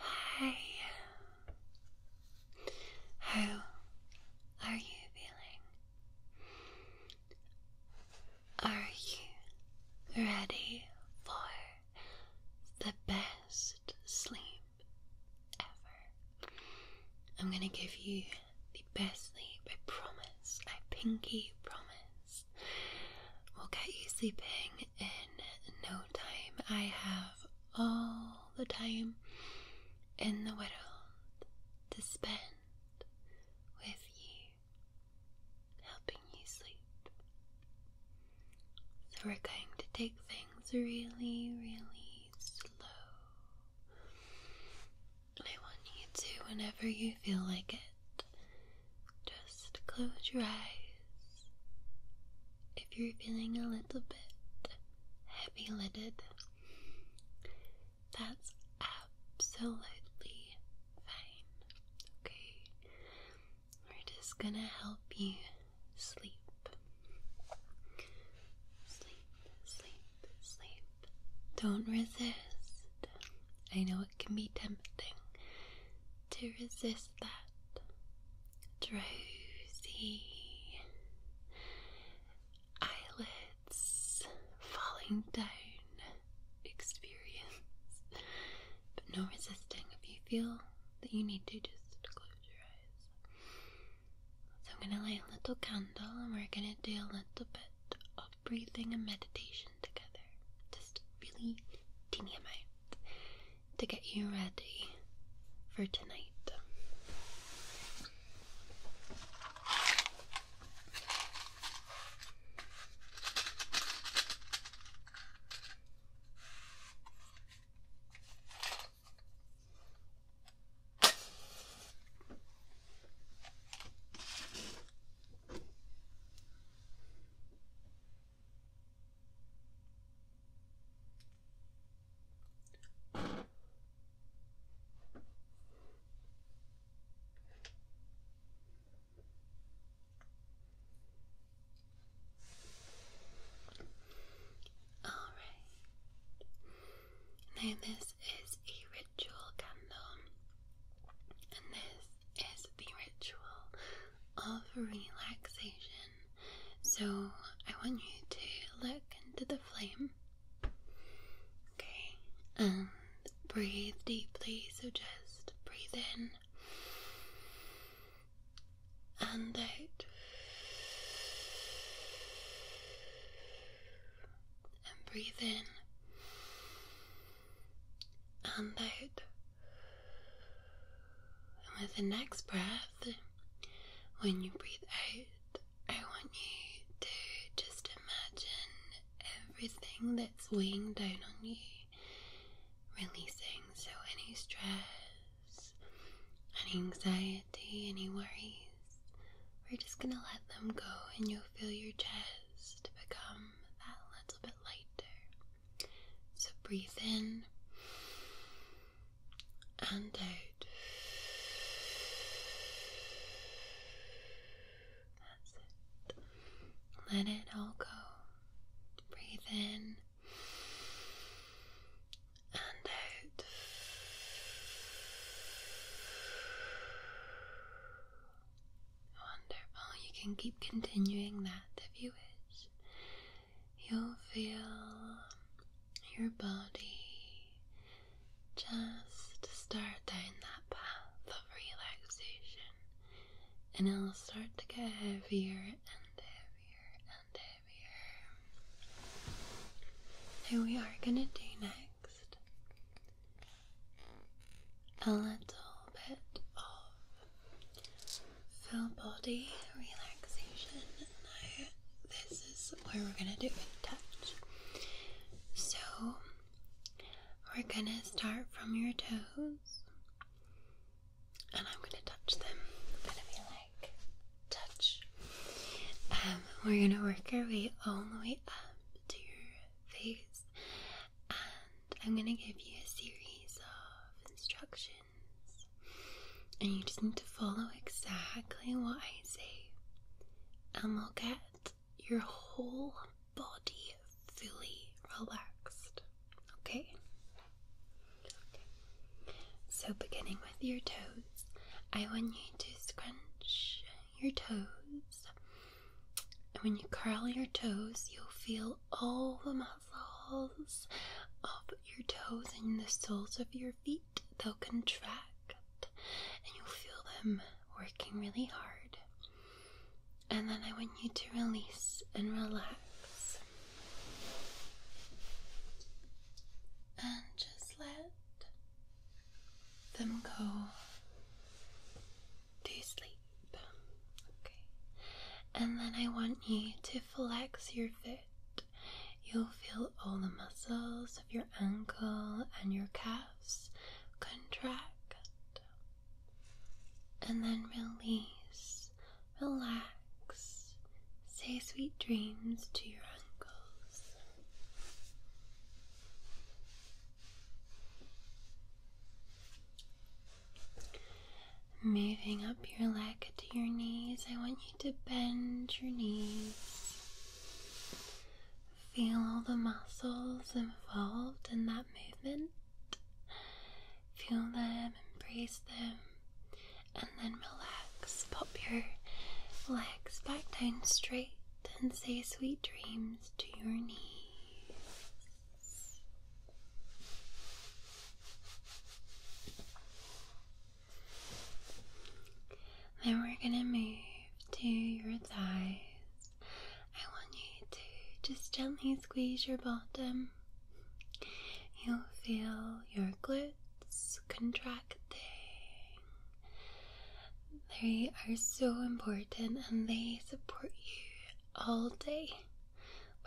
Hi. How are you feeling? Are you ready for the best sleep ever? I'm going to give you the best sleep, I promise. I pinky promise. We'll get you sleeping in no time. I have all the time in the world to spend with you, helping you sleep. So, we're going to take things really, really slow. I want you to, whenever you feel like it, just close your eyes. If you're feeling a little bit heavy lidded, that's absolutely fine. Okay? We're just gonna help you sleep. Sleep, sleep, sleep. Don't resist. I know it can be tempting to resist that drowsy eyelids falling down experience. But no resisting. If you feel that you need to, just close your eyes. So I'm going to light a little candle and we're going to do a little bit of breathing and meditation together. Just really teeny amount to get you ready for tonight. All right. Now this is a ritual candle, and this is the ritual of relaxation. So, I want you to look into the flame, okay, and breathe deeply. So, just breathe in and out. And breathe in and out. And with the next breath, when you breathe out, I want you to just imagine everything that's weighing down on you releasing. So, any stress, any anxiety, any worries, we're just gonna let them go, and you'll feel your chest to become that little bit lighter. So breathe in and out. That's it. Let it all go. Breathe in and out. Wonderful. You can keep continuing that if you wish. You'll feel your body just start down that path of relaxation, and it'll start to get heavier and heavier and heavier. Now, we are going to do next a little bit of full body relaxation. this is where we're going to do it with touch. So, we're going to start from your toes, and I'm going to touch them. I'm going to be like, touch. Um, we're going to work our way all the way up to your those. And I'm going to give you a series of instructions, and you just need to follow exactly what I say, and we'll get your whole body fully relaxed. okay. So, beginning with your toes, I want you to scrunch your toes and when you curl your toes, you'll feel all the muscles of your toes and the soles of your feet. They'll contract and you'll feel them working really hard. And then I want you to release and relax. And just let them go to sleep. And then I want you to flex your foot. You'll feel all the muscles of your ankle and your calves contract. And then release, relax, say sweet dreams to your ankles. Moving up your leg to your knees, I want you to bend your knees. Feel all the muscles involved in that movement. Feel them, embrace them, and then relax. Pop your legs back down straight and say sweet dreams to your knees. Then we're going to move to your thighs. I want you to just gently squeeze your bottom. You'll feel your glutes contracting. They are so important and they support you all day,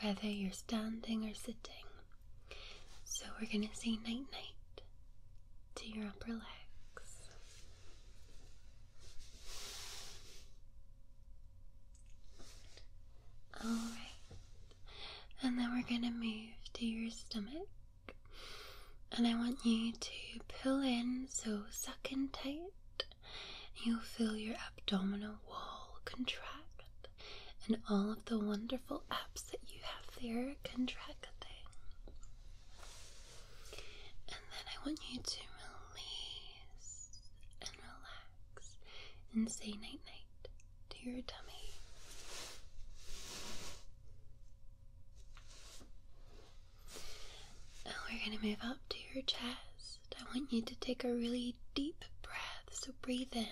whether you're standing or sitting. So we're going to say night night to your upper legs. Alright, and then we're going to move to your stomach. And I want you to pull in, so suck in tight you will feel your abdominal wall contract and all of the wonderful apps that you have there contracting. And then I want you to release and relax and say night night to your tummy. Now we're going to move up to your chest. I want you to take a really deep breath. So breathe in.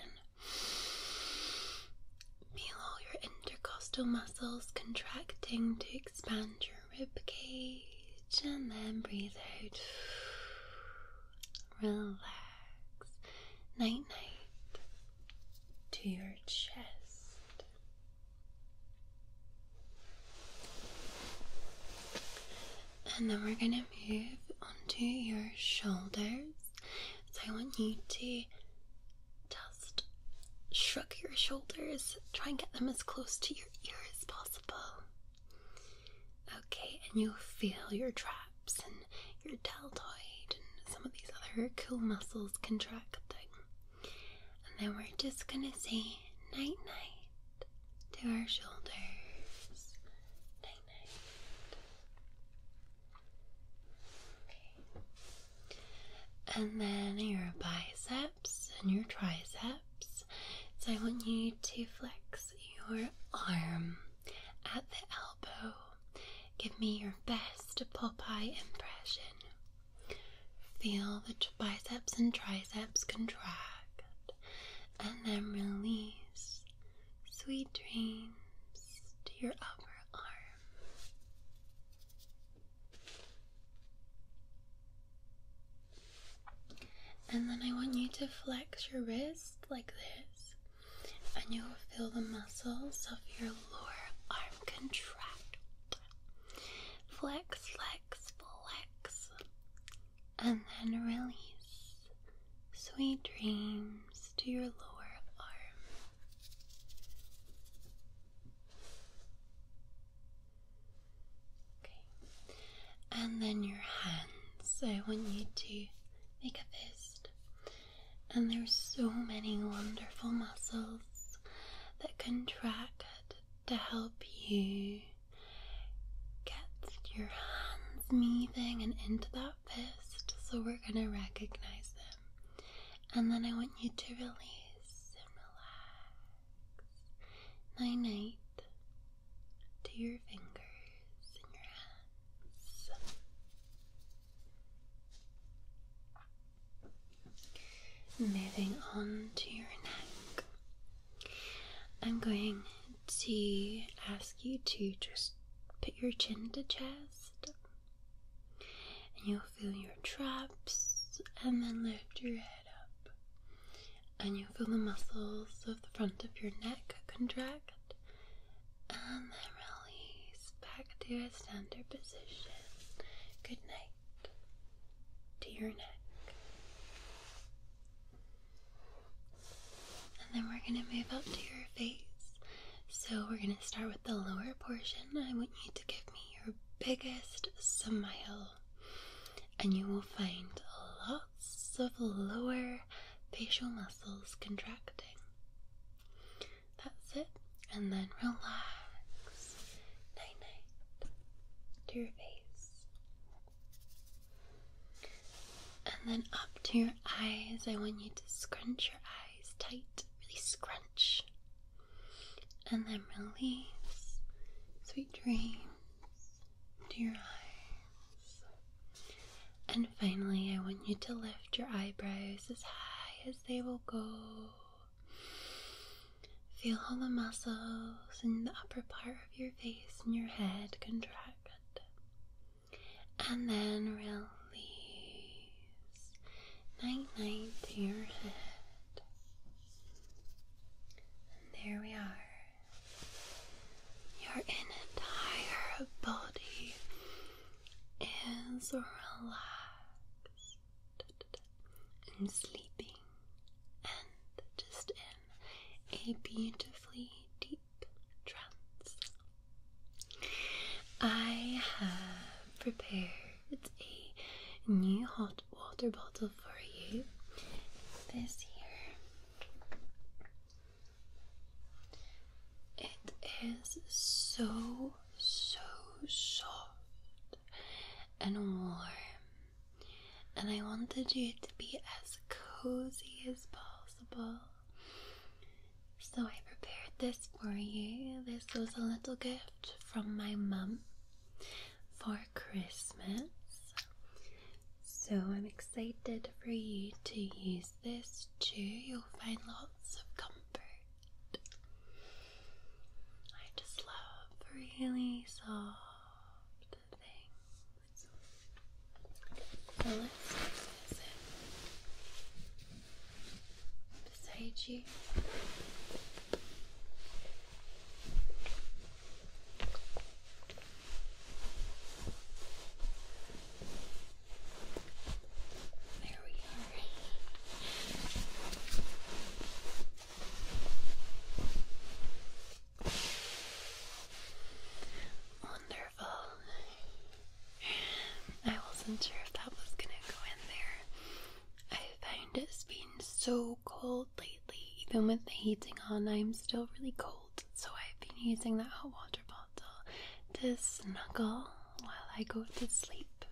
Feel all your intercostal muscles contracting to expand your rib cage. And then breathe out. Relax. Night night to your chest and then we're gonna move onto your shoulders. So I want you to just shrug your shoulders, try and get them as close to your ear as possible. Okay, and you'll feel your traps and your deltoid and some of these other cool muscles contracting. And then we're just gonna say night night to our shoulders. And then your biceps and your triceps. So I want you to flex your arm at the elbow. Give me your best Popeye impression. Feel the biceps and triceps contract and then release sweet dreams to your upper arm. And then I want you to flex your wrist like this, and you will feel the muscles of your lower arm contract. Flex, flex, flex and then release. Sweet dreams to your lower arm. Okay. And then your hands. I want you to make a fist. And there's so many wonderful muscles that contract to help you gets your hands meeting and into that fist. So we're going to recognize them. And then I want you to release and relax. Night night to your fingers and your hands. Moving on to your neck. I'm going to ask you to just put your chin to chest, and you'll feel your traps, and then lift your head up, and you'll feel the muscles of the front of your neck contract, and then release back to a standard position. Good night to your neck. And then we're going to move up to your face. So we're going to start with the lower portion. I want you to give me your biggest smile. And you will find lots of lower facial muscles contracting. That's it. And then relax. Night night. To your face. And then up to your eyes, I want you to scrunch your eyes tight, really scrunch. And then release. Sweet dreams dear eyes. And finally, I want you to lift your eyebrows as high as they will go. Feel all the muscles in the upper part your face and your head contract. And then release. Night night to your head. And there we are. Your entire body is relaxed and sleeping and just a beautifully deep trance. I have prepared a new hot water bottle for you. This here. It is so, so soft and warm and I wanted you to be as cozy as possible. So I prepared this for you. This was a little gift from my mum for Christmas. So I'm excited for you to use this too. You'll find lots of comfort. I just love really soft things. Okay, now beside you. There we are. Wonderful. I wasn't sure if that was gonna go in there. I find it's been so cold lately. Even with the heating on, I'm still really cold. So I've been using that hot water bottle to snuggle while I go to sleep.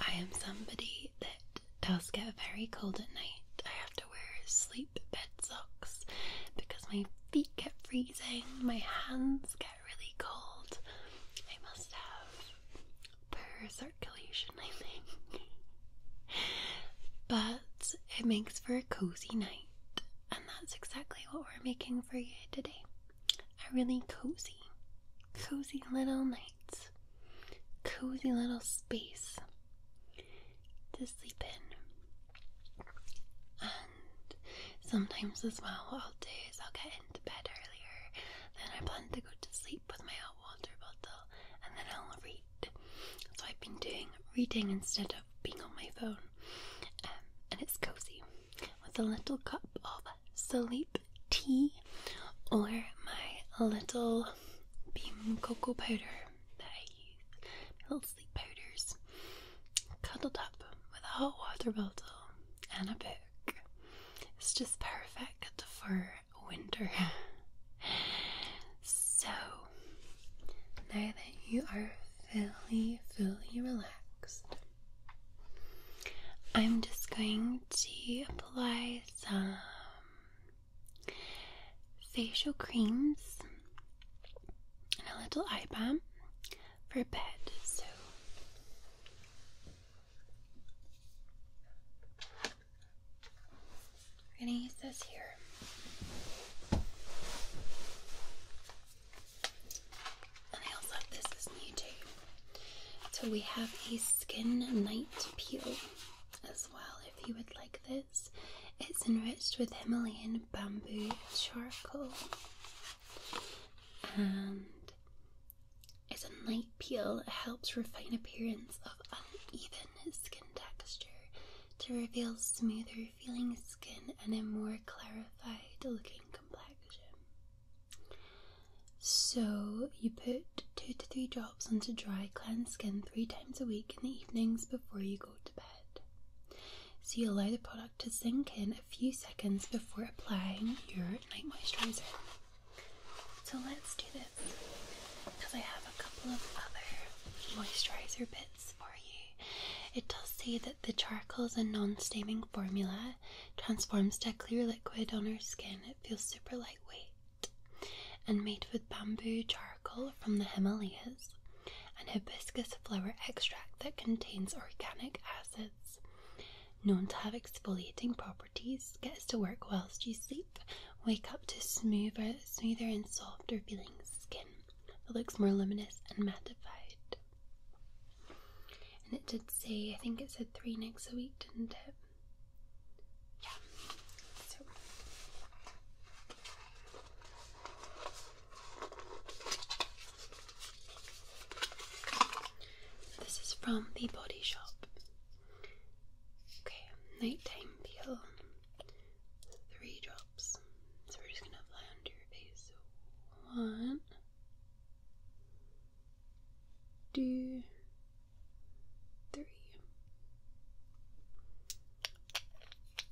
I am somebody that does get very cold at night. I have to wear sleep bed socks because my feet get freezing, my hands get really cold. I must have poor circulation, I think. but it makes for a cozy night, and that's exactly what we're making for you today. A really cozy, cozy little night, cozy little space to sleep in. And sometimes as well, what I'll do is I'll get into bed earlier, then I plan to go to sleep with my hot water bottle, and then I'll read. So I've been doing reading instead of being on my phone, um, and it's cozy with a little cup of sleep tea or my little bean cocoa powder that I little sleep powders, cuddled up with a hot water bottle and a book. It's just perfect for winter. so, now that you are fully, fully relaxed, I'm just going to apply some facial creams and a little eye balm for bed. So we're gonna use this here. And I also have this is new too. So we have a skin night peel as well if you would like this. It's enriched with Himalayan bamboo charcoal and as a night peel. It helps refine appearance of uneven skin texture to reveal smoother feeling skin and a more clarified looking complexion. So you put two to three drops onto dry cleansed skin three times a week in the evenings before you go to bed. So you allow the product to sink in a few seconds before applying your night moisturizer. So let's do this because I have a couple of other moisturizer bits for you. It does say that the charcoal's a non staining formula transforms to a clear liquid on our skin. It feels super lightweight and made with bamboo charcoal from the Himalayas an hibiscus flower extract that contains organic acids. Known to have exfoliating properties, gets to work whilst you sleep. Wake up to smoother, smoother and softer feeling skin that looks more luminous and mattified. And it did say, I think it said three nicks a week, didn't it? Yeah. So this is from the Body Shop. Okay, nighttime peel. Three drops. So we're just gonna apply under your face. one, two, three. We're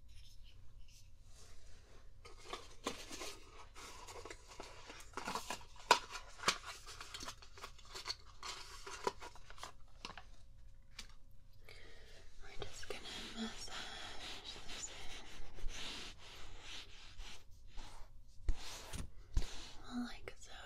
just going to massage this in. Like so.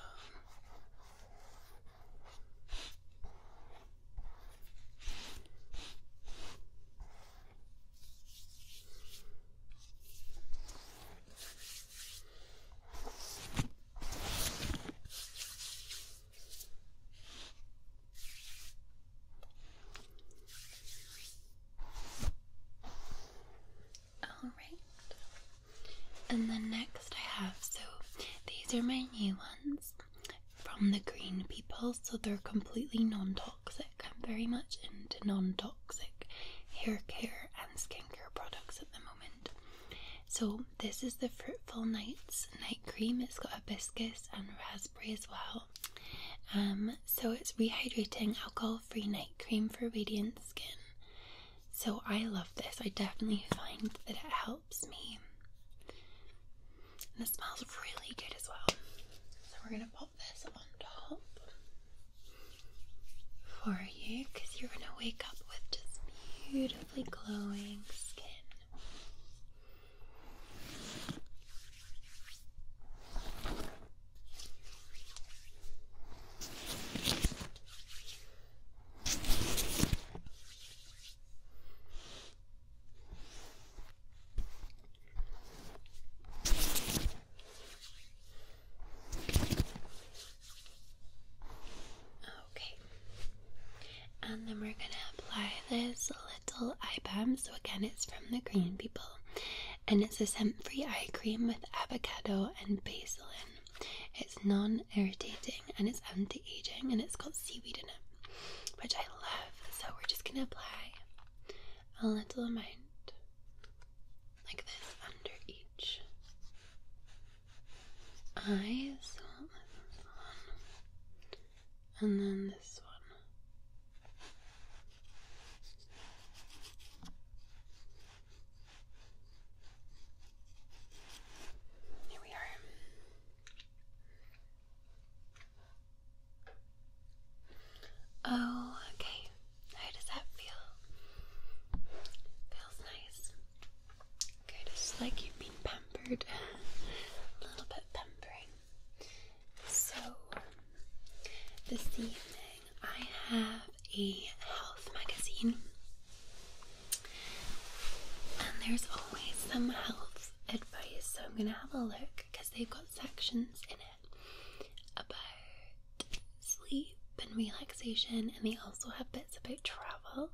All right. And then next I have so these are my new ones from the green people, so they're completely non toxic. I'm very much into non toxic hair care and skincare products at the moment. So, this is the Fruitful Nights night cream, it's got hibiscus and raspberry as well. Um, so, it's rehydrating alcohol free night cream for radiant skin. So, I love this, I definitely find that it helps me. And it smells really good as well. So we're going to pop this on top for you because you're going to wake up with just beautifully glowing skin. Okay. And then we're going to apply this little eye balm. So, again, it's from the Green People. And it's a scent free eye cream with avocado and basil in. It's non irritating and it's anti aging and it's got seaweed in it which I love. So we're just gonna apply a little amount like this under each eye. So and then this one. Here we are. Oh, okay. How does that feel? Feels nice. Okay, just like you've been pampered. A little bit pampering. So, this evening I have a health magazine. And there's always some health advice, so I'm going to have a look because they've got sections in it about sleep and relaxation, and they also have bits about travel.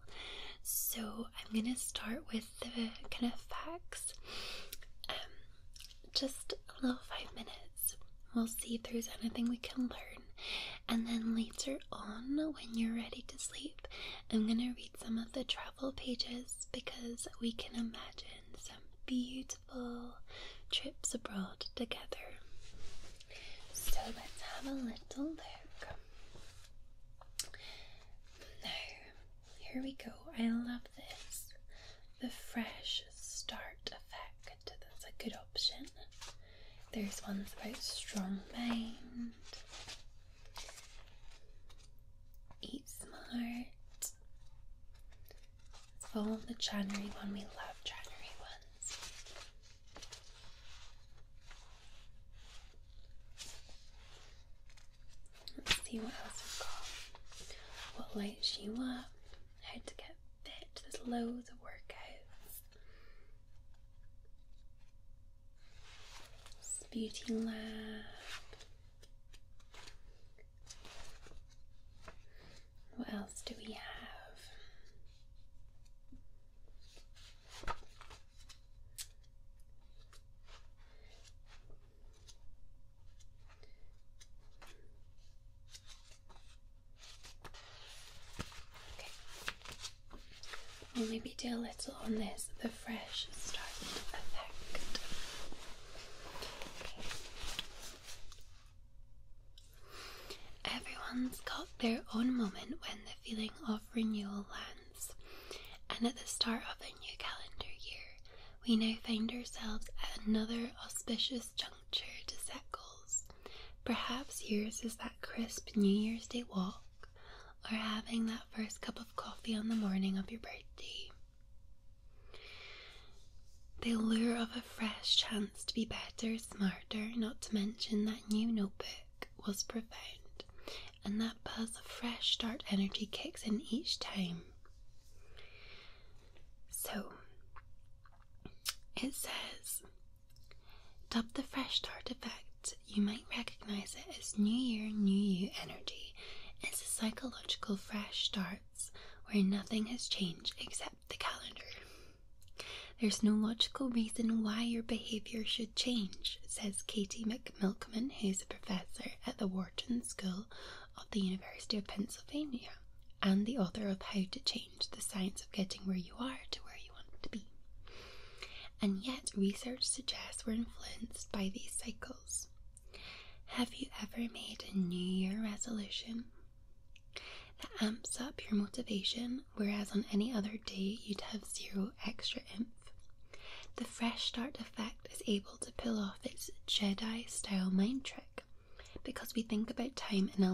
So I'm going to start with the kind of facts. Um, just a little five minutes. We'll see if there's anything we can learn. And then later on, when you're ready to sleep, I'm going to read some of the travel pages because we can imagine some beautiful trips abroad together. So let's have a little look. Now, here we go. I love this. The fresh start effect. That's a good option. There's ones about strong mind, eat smart, it. Let's the January one. We love January ones. Let's see what else we've got. What lights you up, how to get fit, there's loads of workouts. Beauty lab. What else do we have? Okay. i maybe do a little on this fresh start effect. Everyone's got their own moment when the feeling of renewal lands, and at the start of a new calendar year, we now find ourselves at another auspicious juncture to set goals. Perhaps yours is that crisp New Year's Day walk, or having that first cup of coffee on the morning of your birthday. The lure of a fresh chance to be better, smarter, not to mention that new notebook, was profound, and that buzz of fresh start energy kicks in each time. So, it says, dubbed the fresh start effect, you might recognize it as New Year, New You energy. as a psychological fresh start where nothing has changed except the calendar. There's no logical reason why your behaviour should change, says Katie McMilkman, who's a professor at the Wharton School of the University of Pennsylvania and the author of How to Change the Science of Getting Where You Are to Where You Want to Be. And yet, research suggests we're influenced by these cycles. Have you ever made a New Year resolution that amps up your motivation, whereas on any other day you'd have zero extra imp? The Fresh Start Effect is able to pull off its Jedi style mind trick because we think about time in a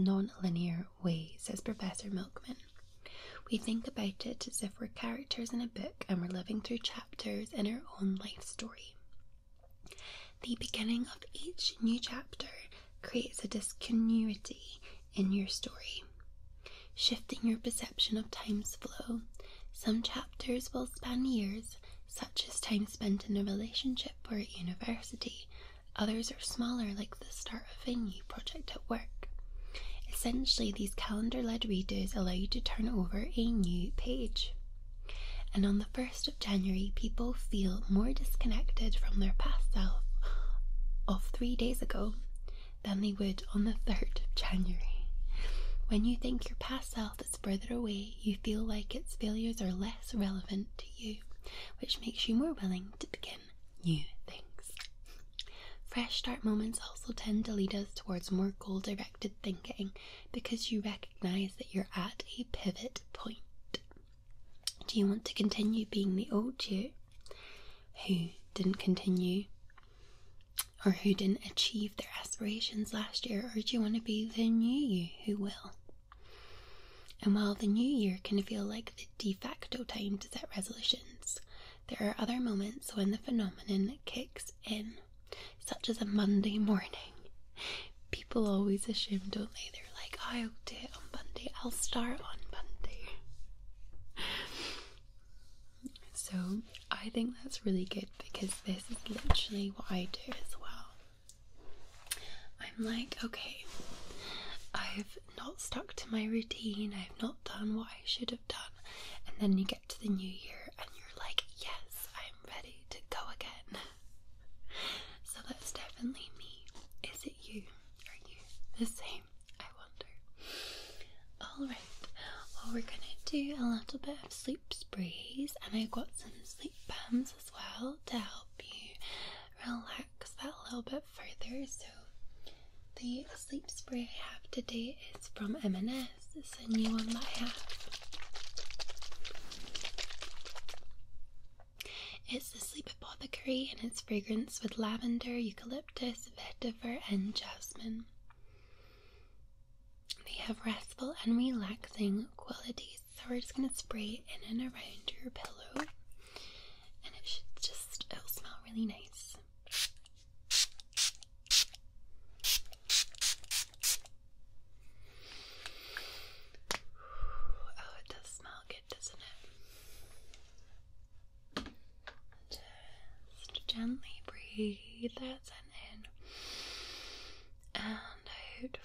non linear way, says Professor Milkman. We think about it as if we're characters in a book and we're living through chapters in our own life story. The beginning of each new chapter creates a discontinuity in your story, shifting your perception of time's flow. Some chapters will span years, such as time spent in a relationship or at university. Others are smaller, like the start of a new project at work. Essentially, these calendar led redos allow you to turn over a new page. And on the 1st of January, people feel more disconnected from their past self of three days ago than they would on the 3rd of January. When you think your past self is further away, you feel like its failures are less relevant to you, which makes you more willing to begin new things. Fresh start moments also tend to lead us towards more goal directed thinking because you recognize that you're at a pivot point. Do you want to continue being the old you who didn't continue or who didn't achieve their aspirations last year, or do you want to be the new you who will? And while the new year can feel like the de facto time to set resolutions, there are other moments when the phenomenon kicks in such as a Monday morning. People always assume, don't they? They're like, I'll do it on Monday, I'll start on Monday. So I think that's really good because this is literally what I do as well. I'm like, okay, I've not stuck to my routine, I've not done what I should have done, and then you get to the new year and you're like, yes, I'm ready to go again. so that's definitely me. Is it you? Are you the same? I wonder. Alright, well, we're gonna do a little bit of sleep sprays, and I got some sleep balms as well to help you relax that a little bit further. So, the sleep spray I have today is from M&M this is a new one that I have. It's the Sleep Apothecary and its fragrance with lavender, eucalyptus, vetiver, and jasmine. They have restful and relaxing qualities, so we're just going to spray in and around your pillow, and it should just it'll smell really nice. Oh, it does smell good, doesn't it? Just gently breathe that in and out,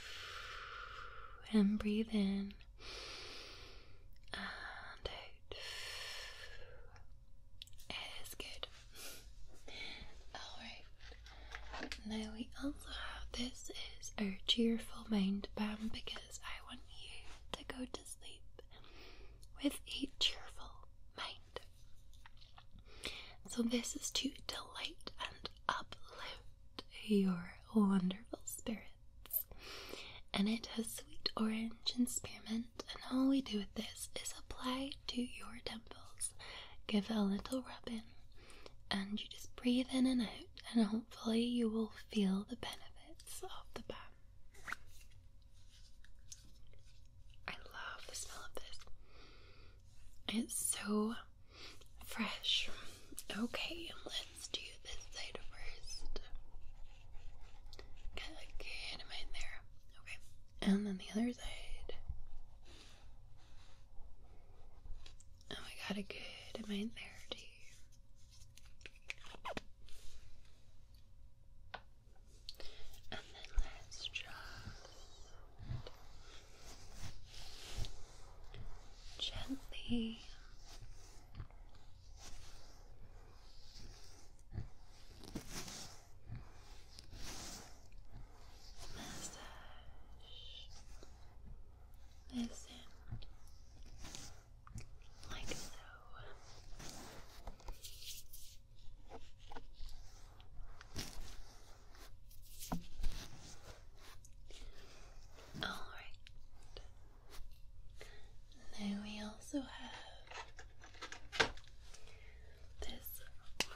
and breathe in and out. It is good. Alright, now we also have this is our cheerful mind balm because I want you to go to sleep with a cheerful mind. So, this is to delight and uplift your wonderful spirits. And it has sweet orange and spearmint, and all we do with this is apply to your temples give it a little rub in, and you just breathe in and out, and hopefully, you will feel the benefits of the bath. I love the smell of this, it's so fresh. Okay, let's do this side first. Get a good amount there. Okay, and then the other side. And oh, we got a good main there And then let's just gently massage this like so. All right. Then we also have this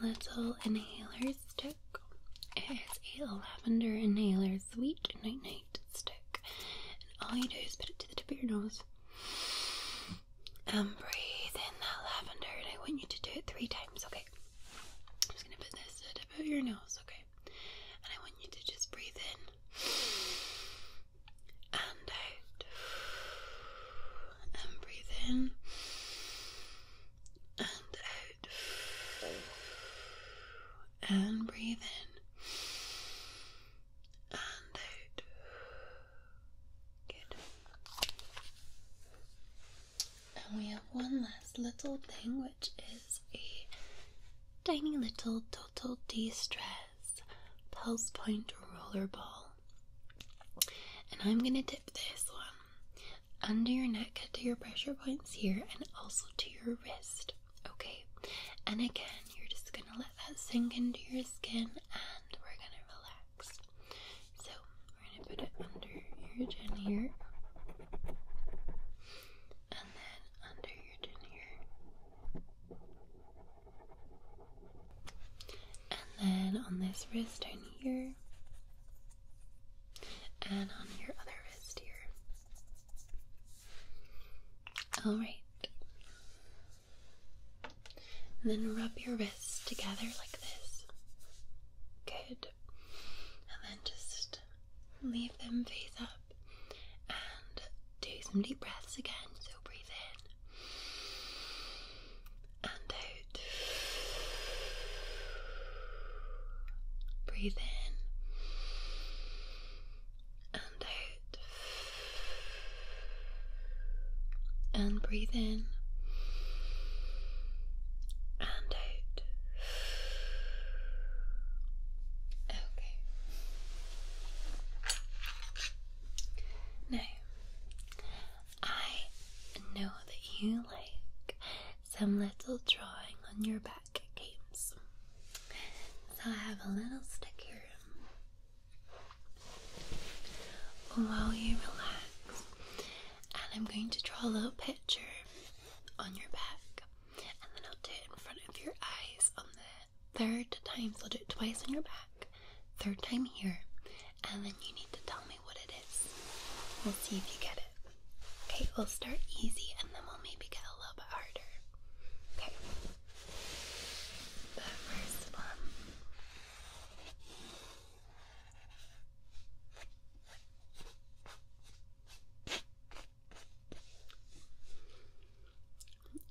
little inhaler stick stick is a lavender inhaler sweet night night stick. And all you do is put it to the tip of your nose and um, breathe in that lavender. And I want you to do it three times, okay? I'm just gonna put this to the tip of your nose, okay? And I want you to just breathe in and out and breathe in and out. And breathe in and out. Good. And we have one last little thing, which is a tiny little total de stress pulse point roller ball. And I'm going to dip this one under your neck to your pressure points here and also to your wrist. Okay, and again, you're just gonna let that sink into your skin and we're gonna relax. So, we're gonna put it under your chin here, and then under your chin here, and then on this wrist down here, and on your other wrist here. Alright. then rub your wrists together like this. Good. And then just leave them face up and do some deep breaths again. So breathe in and out. Breathe in and out. And breathe in and out. Okay. Now, I know that you like some little drawing on your back games. So I have a little stick While you relax, and I'm going to draw a little picture on your back, and then I'll do it in front of your eyes on the third time. So I'll do it twice on your back, third time here, and then you need to tell me what it is. We'll see if you get it. Okay, we'll start easy and then we'll maybe get a little bit harder. Okay. The first one.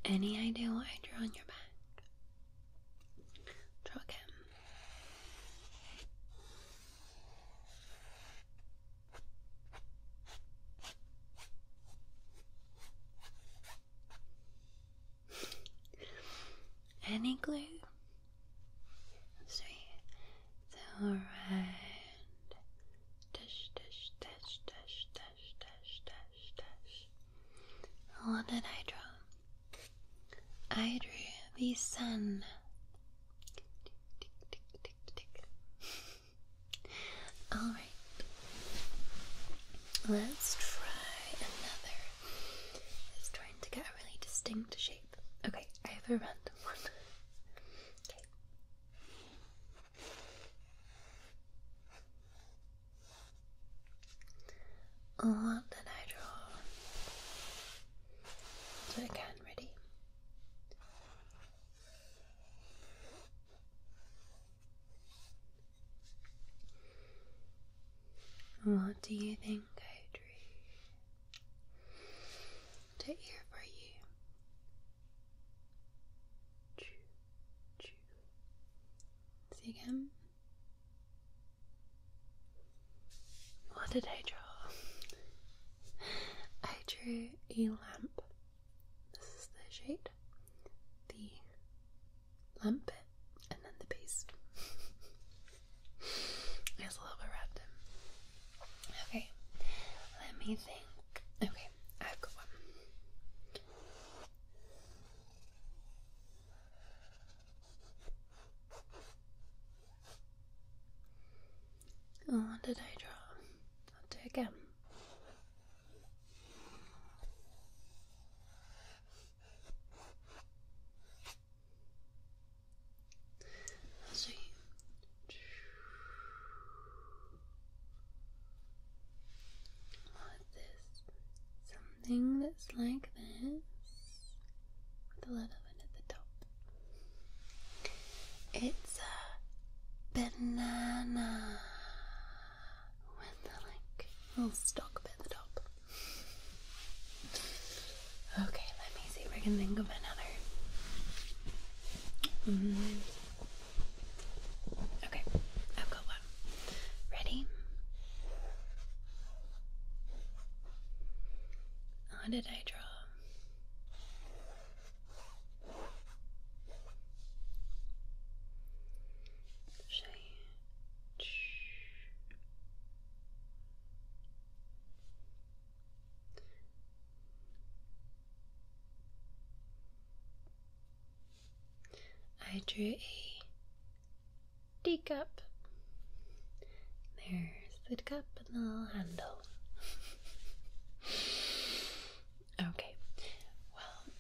Any idea what I drew on your back? Draw again. Any glue? Sorry. Alright. Dash, dash, dash, dash, dash, dash, dash, dash. What did I draw? I drew the sun all right. Let's try another. Just trying to get a really distinct shape. Okay, I have a random one. okay. What did I draw? So again, ready. What do you think I drew to hear for you? Choo, choo. See again. What did I draw? I drew a lamp. This is the shade, the lamp and then the base. it's a little bit random. Okay, let me think. Okay, I've got one. Oh, what did I draw? I'll do it again. Let's see. What is this? Something that's like this with a little bit at the top. It's a banana with the like little stalk at the top. Okay, let me see if I can think of another. Mm-hmm. Okay, I've got one. Ready? How did I draw? Gente, I drew a teacup there food cup and the handle. okay, well,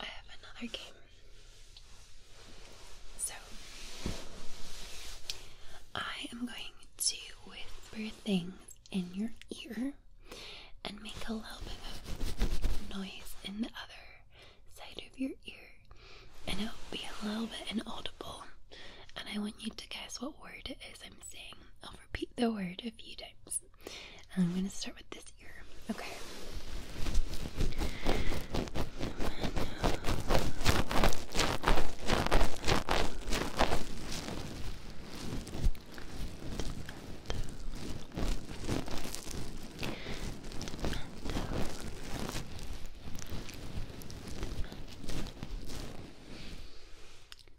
I have another game. So, I am going to whisper things in your ear and make a little bit of noise in the other side of your ear and it will be a little bit inaudible. And I want you to guess what word it is I'm saying. I'll repeat the word a few times. I'm going to start with this ear. Okay.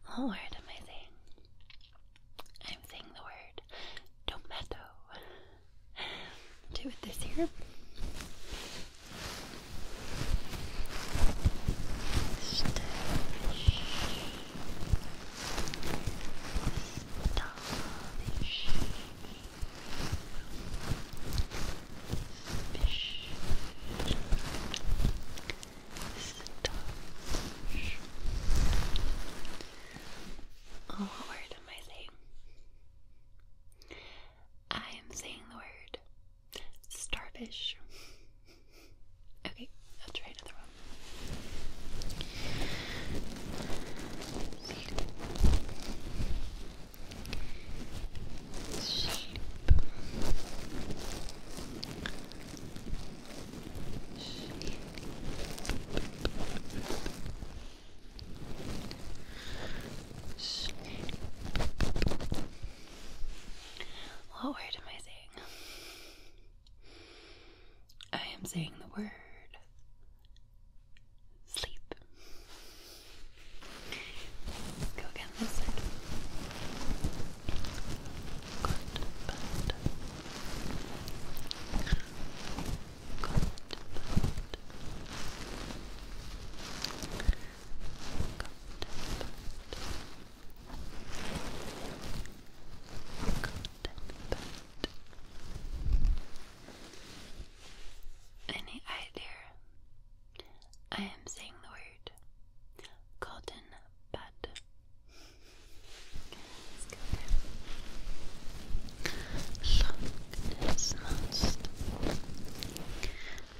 What oh, word am I saying? I'm saying the word tomato. Do it this year. Oh, what word am I saying? I am saying the word starfish. Okay, I'll try another one. What word am I saying? I am saying the word sleep. Go again this side. Good, bad. Good, bad. Good, bad. Any idea? I am saying the word word cotton bud. Okay, monster. Look is monster.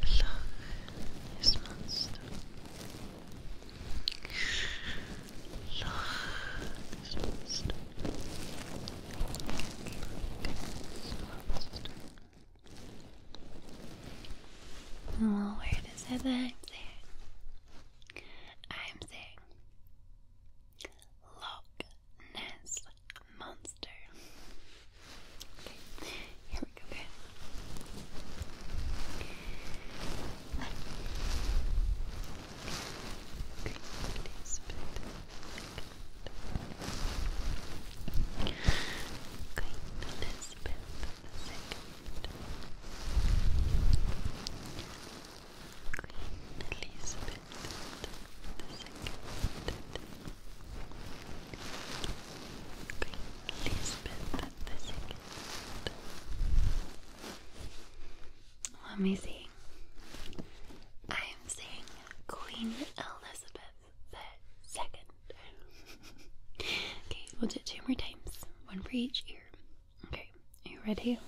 Look is monster. Well, oh, where does it back there? I'm saying Loch Ness Monster. Okay, here we go, Okay, spin the second. Queen Elizabeth the second. Queen Elizabeth the second. Let me see. I am seeing Queen Elizabeth second. okay, we'll do two more times. One for each ear. Okay, are you ready? Three,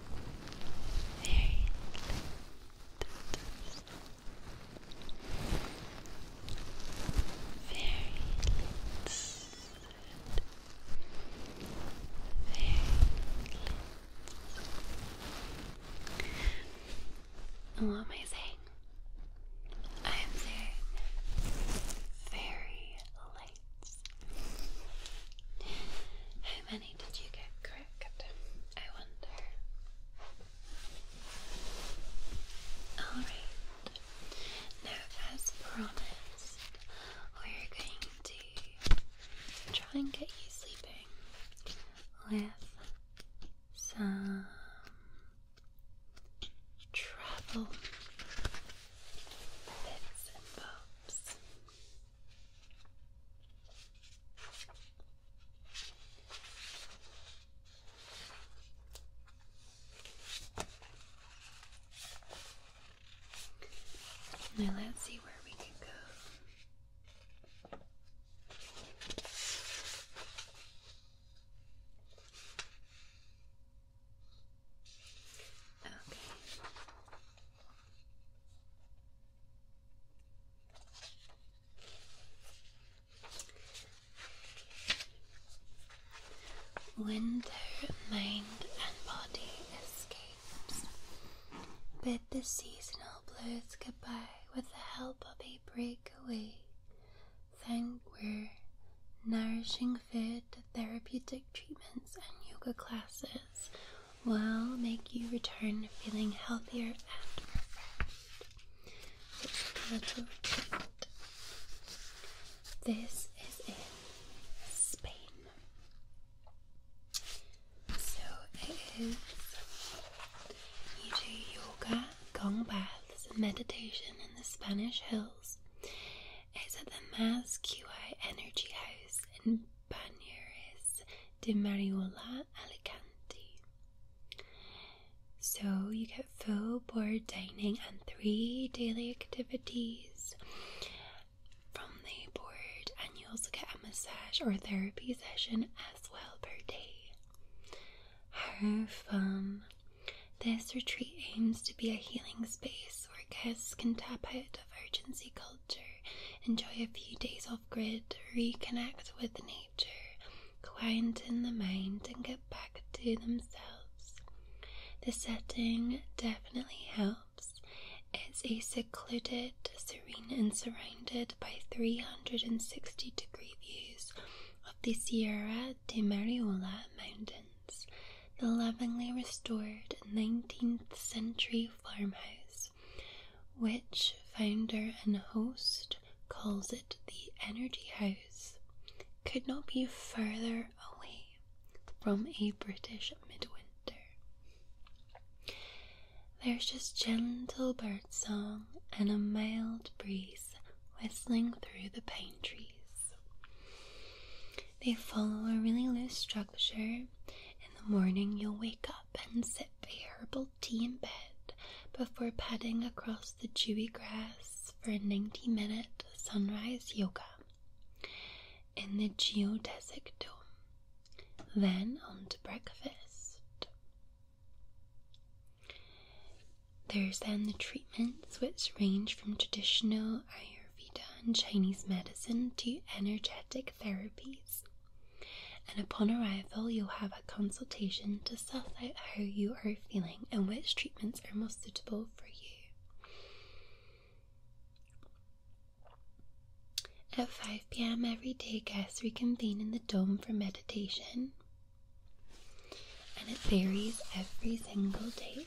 very little very very what am I saying? I am saying very how many did you get correct? I wonder. Alright, now as promised, we're going to try and get you sleeping with some travel bits and bobs. Now let's see where we can go. Okay. When their mind and body escapes, bid the seasonal blues goodbye with the help of a breakaway. Thankwear, nourishing food, therapeutic treatments, and yoga classes will make you return feeling healthier and refreshed. So a little treat. This is in Spain. So it is you do yoga, gong baths, meditation in the Spanish hills. It's at the Mas QI Energy House in Panieres de Mariola Alicante. So you get full board dining and three daily activities from the board, and you also get a massage or therapy session as well per day. How fun! This retreat aims to be a healing space where guests can tap out of urgency culture enjoy a few days off grid, reconnect with nature, quieten the mind, and get back to themselves. The setting definitely helps. It's a secluded, serene, and surrounded by 360 degree views of the Sierra de Mariola mountains, the lovingly restored 19th century farmhouse which founder and host calls it the Energy House, could not be further away from a British midwinter. There's just gentle bird song and a mild breeze whistling through the pine trees. They follow a really loose structure in the morning, you'll wake up and sip herbal tea in bed before padding across the dewy grass for a 90 minute sunrise yoga in the geodesic dome. Then on to breakfast. There's then the treatments which range from traditional Ayurveda and Chinese medicine to energetic therapies and upon arrival you'll have a consultation to suss out how you are feeling and which treatments are most suitable for you. At 5 pm every day, guests reconvene in the dome for meditation, and it varies every single day.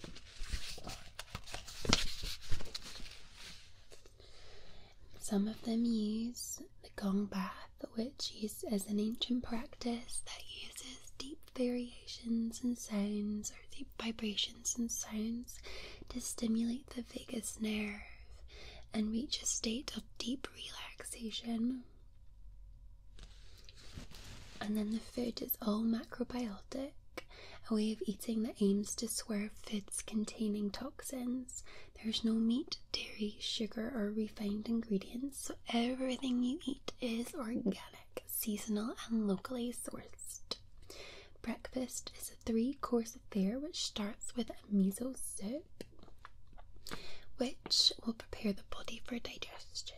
Some of them use the gong bath, which is an ancient practice that uses deep variations in sounds or deep vibrations in sounds to stimulate the vagus nerve and reach a state of deep relaxation. And then the food is all macrobiotic, a way of eating that aims to swerve foods containing toxins there's no meat, dairy, sugar, or refined ingredients, so everything you eat is organic, seasonal, and locally sourced. Breakfast is a three course affair which starts with a miso soup, which will prepare the body for digestion.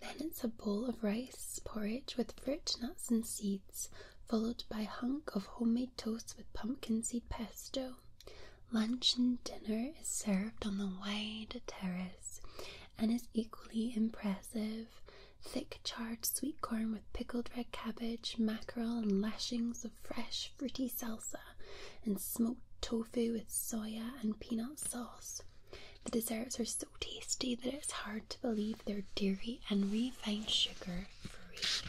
Then it's a bowl of rice porridge with fruit, nuts, and seeds, followed by a hunk of homemade Toasts with pumpkin seed pesto. Lunch and dinner is served on the wide terrace and is equally impressive. Thick charred sweet corn with pickled red cabbage, mackerel, and lashings of fresh fruity salsa, and smoked tofu with soya and peanut sauce. The desserts are so tasty that it's hard to believe they're dairy and refined sugar free.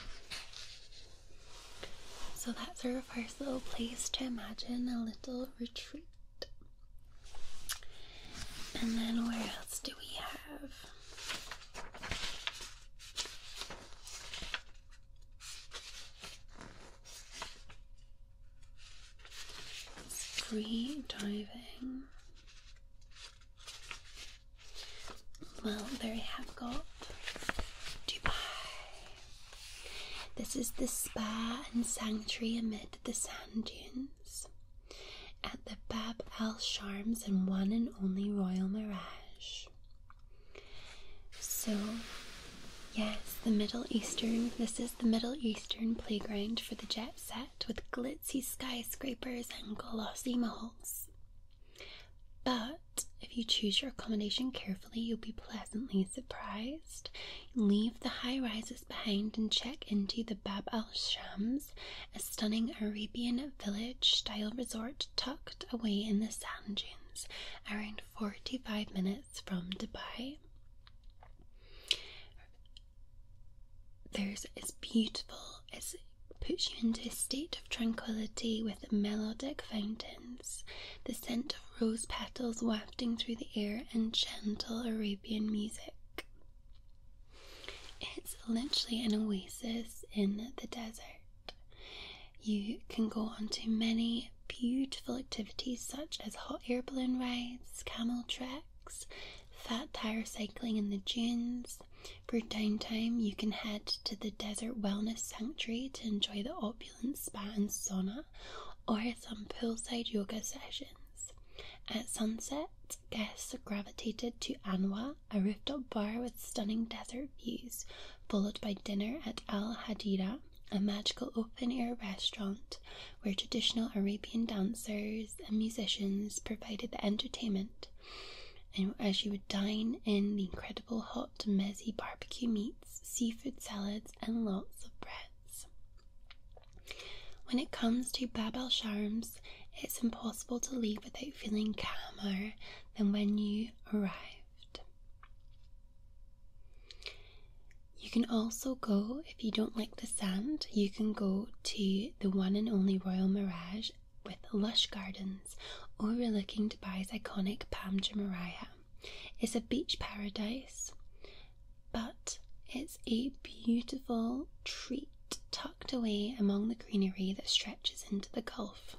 So that's our first little place to imagine a little retreat. And then where else do we have? Free diving. Well, there we have got Dubai. This is the spa and sanctuary amid the sand dunes at the Bab al Sharms and one and only Royal Mirage. So, yes, the Middle Eastern, this is the Middle Eastern playground for the jet set with glitzy skyscrapers and glossy malls. But if you choose your accommodation carefully, you'll be pleasantly surprised. Leave the high rises behind and check into the Bab al Shams, a stunning Arabian village style resort tucked away in the sand dunes, around 45 minutes from Dubai. There's this beautiful it puts you into a state of tranquility with melodic fountains, the scent of rose petals wafting through the air, and gentle Arabian music. It's literally an oasis in the desert. You can go on to many beautiful activities such as hot air balloon rides, camel treks, fat tire cycling in the dunes, for downtime, you can head to the Desert Wellness Sanctuary to enjoy the opulent spa and sauna, or some poolside yoga sessions. At sunset, guests gravitated to Anwa, a rooftop bar with stunning desert views, followed by dinner at Al Hadira, a magical open air restaurant where traditional Arabian dancers and musicians provided the entertainment and as you would dine in the incredible hot messy barbecue meats, seafood salads, and lots of breads. When it comes to Bab el it's impossible to leave without feeling calmer than when you arrived. You can also go, if you don't like the sand, you can go to the one and only Royal Mirage with lush gardens overlooking Dubai's iconic Palm Jumeirah. It's a beach paradise, but it's a beautiful treat tucked away among the greenery that stretches into the Gulf.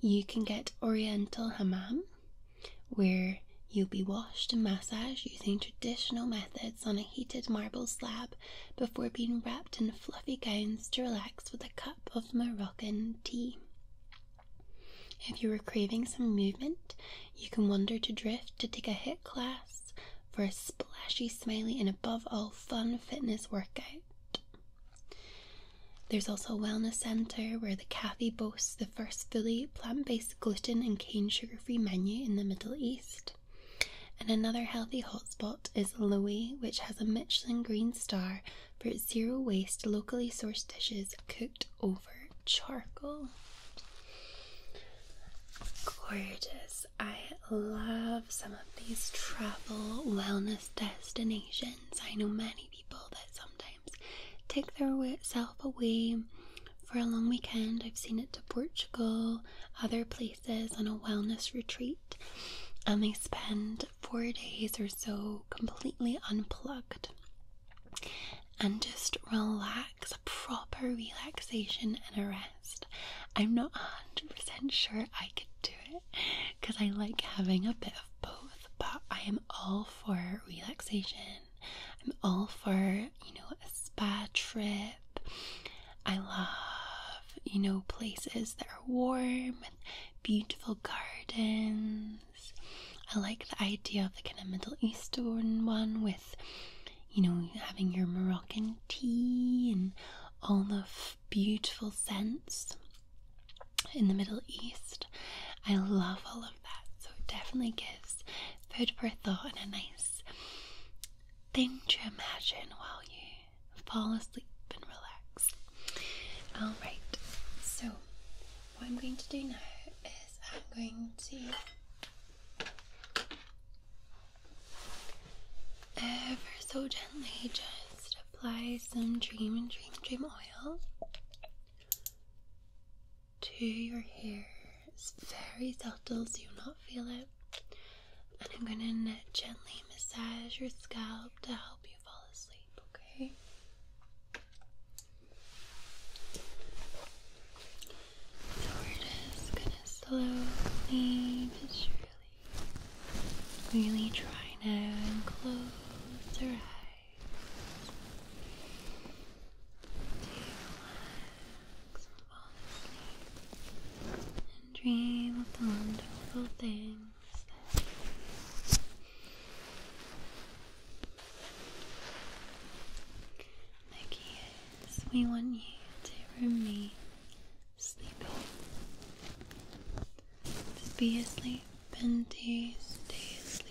You can get Oriental Hammam, where you'll be washed and massaged using traditional methods on a heated marble slab before being wrapped in fluffy gowns to relax with a cup of Moroccan tea. If you are craving some movement, you can wander to Drift to take a hit class for a splashy, smiley, and above all, fun fitness workout. There's also a wellness center where the cafe boasts the first fully plant based gluten and cane sugar free menu in the Middle East. And another healthy Spot is Lowy, which has a Michelin green star for its zero waste, locally sourced dishes cooked over charcoal. Gorgeous. I love some of these travel wellness destinations. I know many people that sometimes take their self away for a long weekend. I've seen it to Portugal, other places on a wellness retreat, and they spend four days or so completely unplugged and just relax, a proper relaxation and a rest. I'm not 100% sure I could do it because I like having a bit of both, but I am all for relaxation. I'm all for, you know, a spa trip. I love, you know, places that are warm beautiful gardens. I like the idea of the kind of Middle Eastern one with, you know, having your Moroccan tea and all the beautiful scents in the Middle East. I love all of that. So it definitely gives food for thought and a nice thing to imagine while you fall asleep and relax. Alright, so what I'm going to do now is I'm going to ever uh, so gently just apply some Dream and Dream Dream oil to your hair. It's very subtle, so you'll not feel it. And I'm going to gently massage your scalp to help you fall asleep, okay? So we gonna slowly but surely really try now close your eyes. relax and fall asleep and dream of the wonderful things this. we want you to remain sleepy. Just be asleep and stay asleep.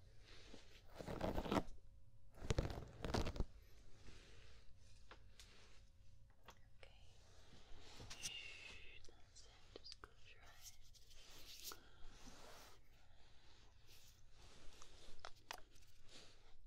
Shh, that's it. Just close your eyes. Sweet dreams, my love. Sweet dreams.